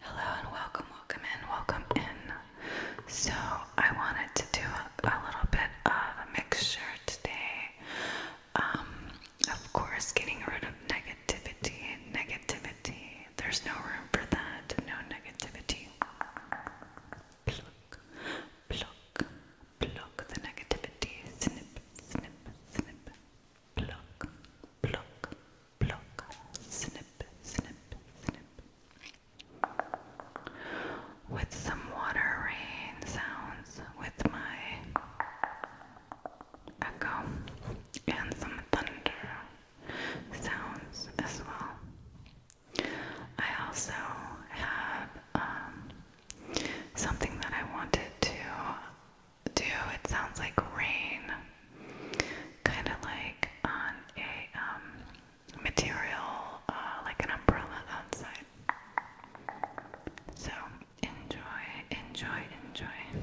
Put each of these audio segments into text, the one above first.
Hello and welcome, welcome in, welcome in. So, I wanted to do a, little bit of a mixture today. Um, of course, getting rid of negativity, negativity. There's no room for that, no negativity pluck, pluck, pluck the negativity, snip, snip, snip, pluck, pluck, pluck, snip, snip, snip. With some water rain sounds, with my echo, and some thunder sounds as well. I also have um, something that I wanted to do. It sounds like rain, kind of like on a um, material, uh, like an umbrella outside. So enjoy, enjoy, enjoy.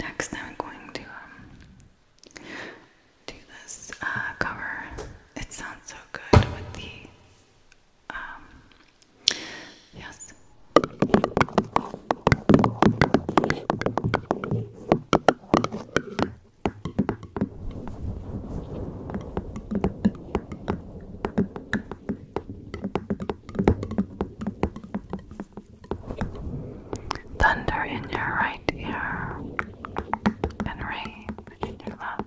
Next, I'm going to um, do this uh, cover. It sounds so good with the um, yes. Thunder in your right ear and rain in your left.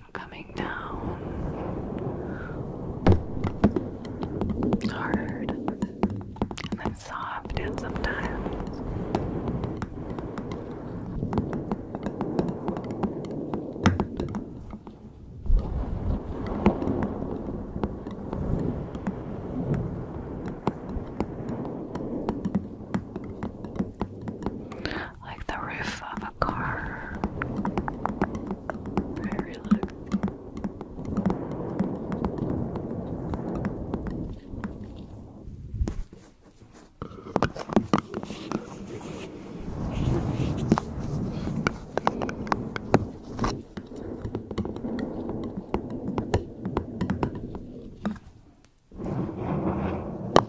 rain coming down hard and then soft and sometimes like the roof of a car. Very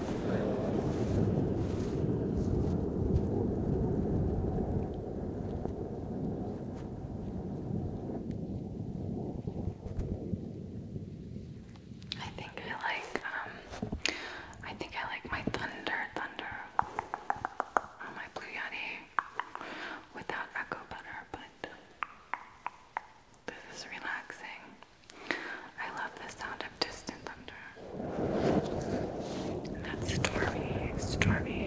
I think I like um, I think I like my thunder thunder or um, my blue yeti without echo but this is relaxing. I love the sound of of distant thunder. And that's stormy, stormy.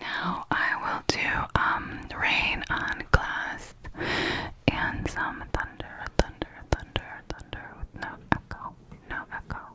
Now I will do um rain on glass and some thunder, thunder, thunder, thunder with no echo, no echo.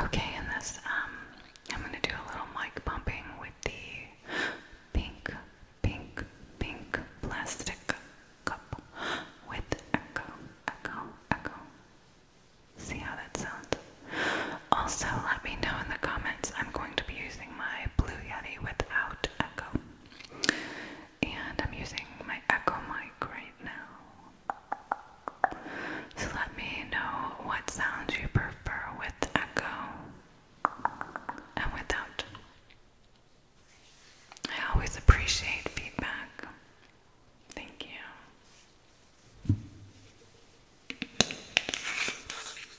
Okay, and this, um, I'm gonna do a little mic bumping with the pink, pink, pink plastic cup with echo, echo, echo. See how that sounds? Also, let me know in the comments. I'm going to be using my Blue Yeti without Echo. And I'm using my Echo mic right now. So let me know what sounds you prefer with Echo and without. I always appreciate feedback. Thank you.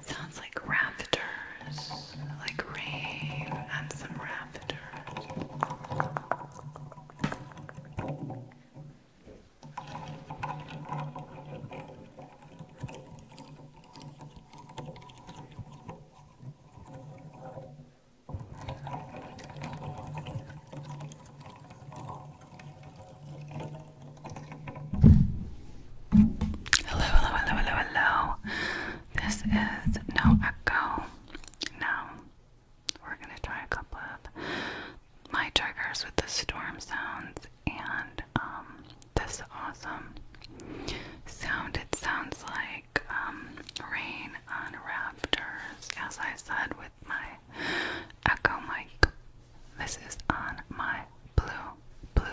Sounds like raptors, like rain and some rafters. Hello, hello, hello, hello, hello. This is no echo. Now, we're going to try a couple of my triggers with the storm sounds and um, that's awesome. Sound it sounds like um, rain on rafters, as I said with my echo mic. This is on my blue, blue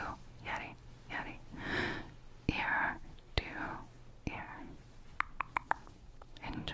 Yeti, Yeti, ear to ear. Enjoy.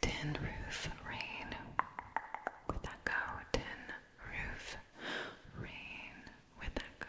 Tin roof rain. Would that go? Tin roof rain. Would that go?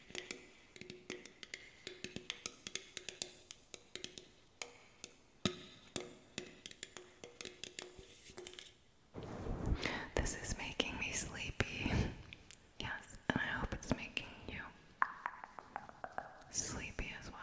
This is making me sleepy. Yes, and I hope it's making you sleepy as well.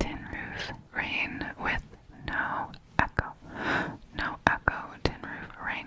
Tin roof rain with no echo. No echo, tin roof rain.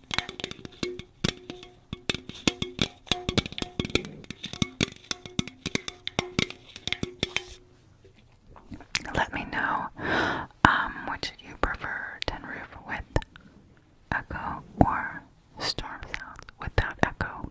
Let me know um, which you prefer, tin roof with echo or storm sounds without echo.